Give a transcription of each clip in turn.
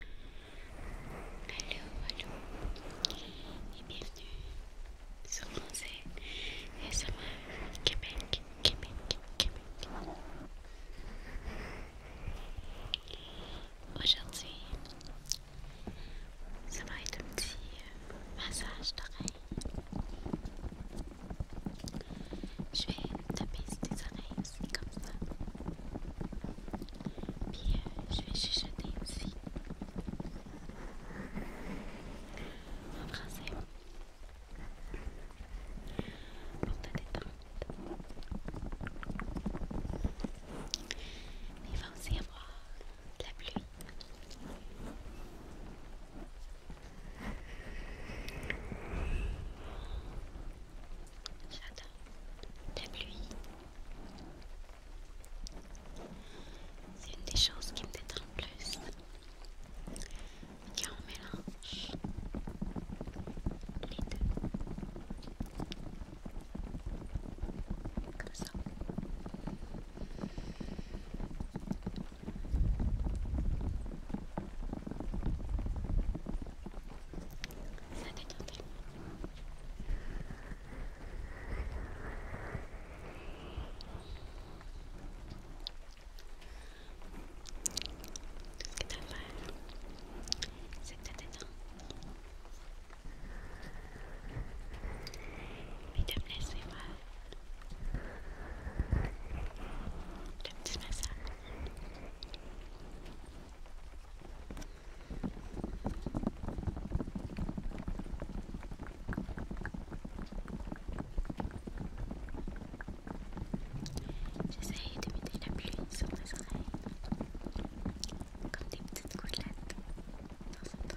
Allô, allô et bienvenue sur mon sur SMR Québec, Québec, Québec. Aujourd'hui, ça va être un petit massage d'oreilles. Je vais taper sur tes oreilles comme ça. Puis euh, je vais chuchoter aussi en français pour te détendre. Mais il va aussi y avoir de la pluie. J'adore la pluie. C'est une des choses qui me détend le plus. Tiens, on mélange les deux. Comme ça. Ça détend Tout Ce que t'as à faire, c'est que t'as détendre. te de me laisser voir me petit massage. J'essaie de mettre la pluie sur mes oreilles comme des petites gouttelettes dans un temps.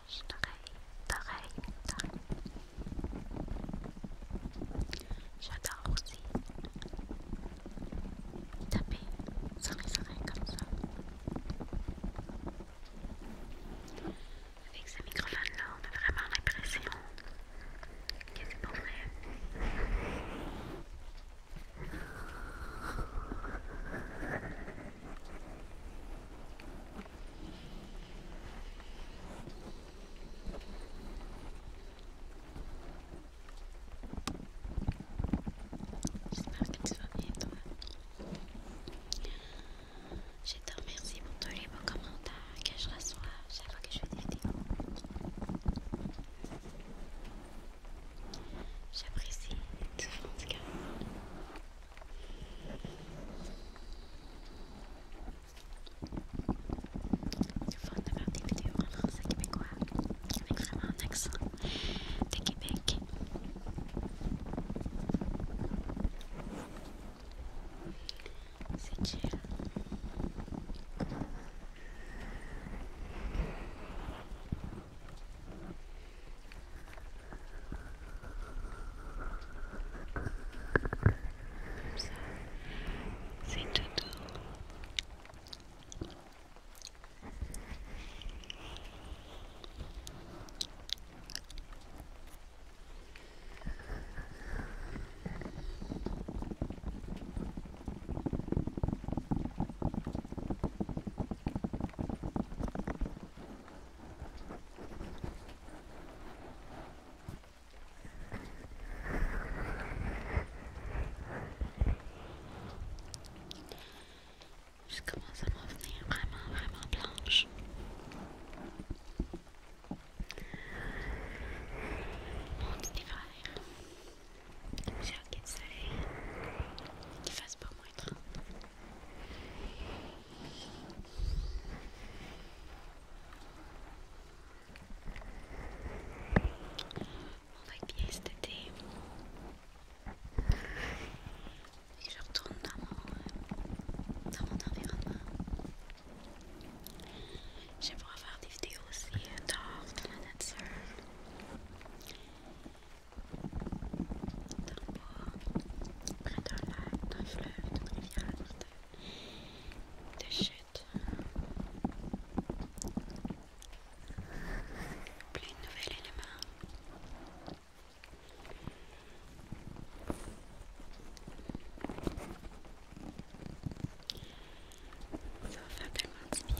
d'oreille, d'oreille. J'adore aussi taper sur les oreilles comme ça. Avec ce microphone-là, on a vraiment l'impression que c'est pour vrai. J'espère que tu vas bien, toi. Je te remercie pour tous les beaux commentaires que je reçois chaque fois que je fais des vidéos. J'apprécie tout en tout c'est fun de faire des vidéos en français québécois avec vraiment un accent de Québec. C'est chill. C'est tout je commence à m'en venir vraiment, vraiment blanche. Mon petit frère, J'ai envie de y ait du soleil, qu'il mon moins 30. On va cet été. Et je retourne dans mon, dans mon environnement. j'aimerais faire des vidéos aussi euh, dehors, dans la nature dans le bois, près d'un lac, d'un fleuve, d'une rivière, de, de chutes. Plein de nouvelles éléments. Ça va faire tellement du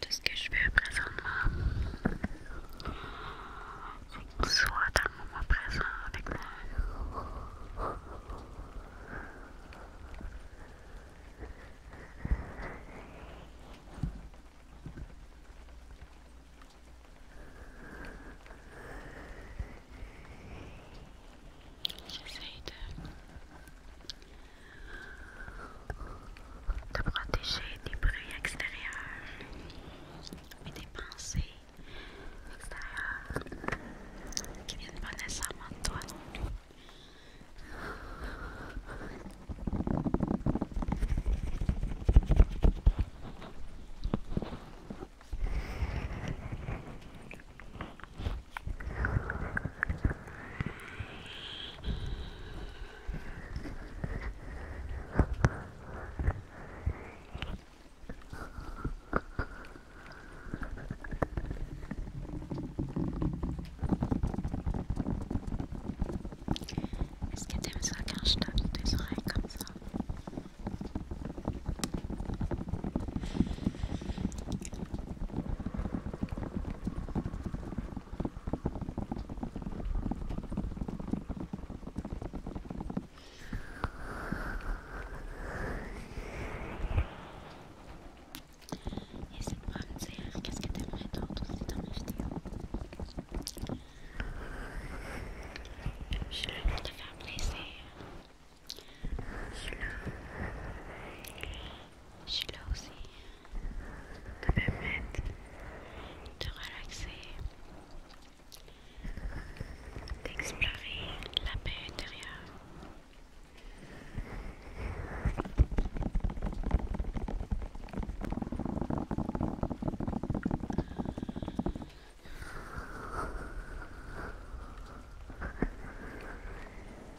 tout ce que je veux, présentement soit dans le moment présent avec moi te protéger des bruits extérieurs et des pensées extérieures qui viennent pas nécessairement de toi est-ce que tu t'aimes ça quand je tape tes oreilles comme ça et c'est pour me dire qu'est-ce que t'aimerais te retrouver dans mes vidéo Je suis là pour te faire plaisir. Je suis je suis là aussi de te de relaxer, d'explorer la paix intérieure.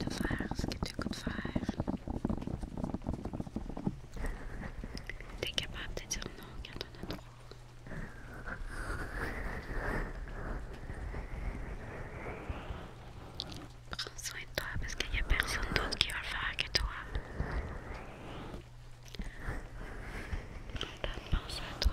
de faire ce que tu peux faire. T'es capable de dire non quand on a trop. Prends soin de toi parce qu'il n'y a personne d'autre qui va le faire que toi. à toi.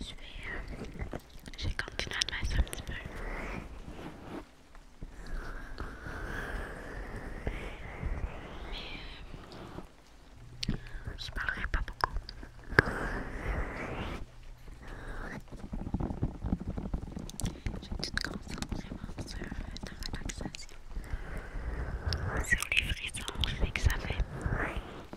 Je vais, euh, je vais continuer à me masser un petit peu. Mais euh, je parlerai pas beaucoup. Je te concentrer vraiment sur ta relaxation. Sur les frissons je que ça fait.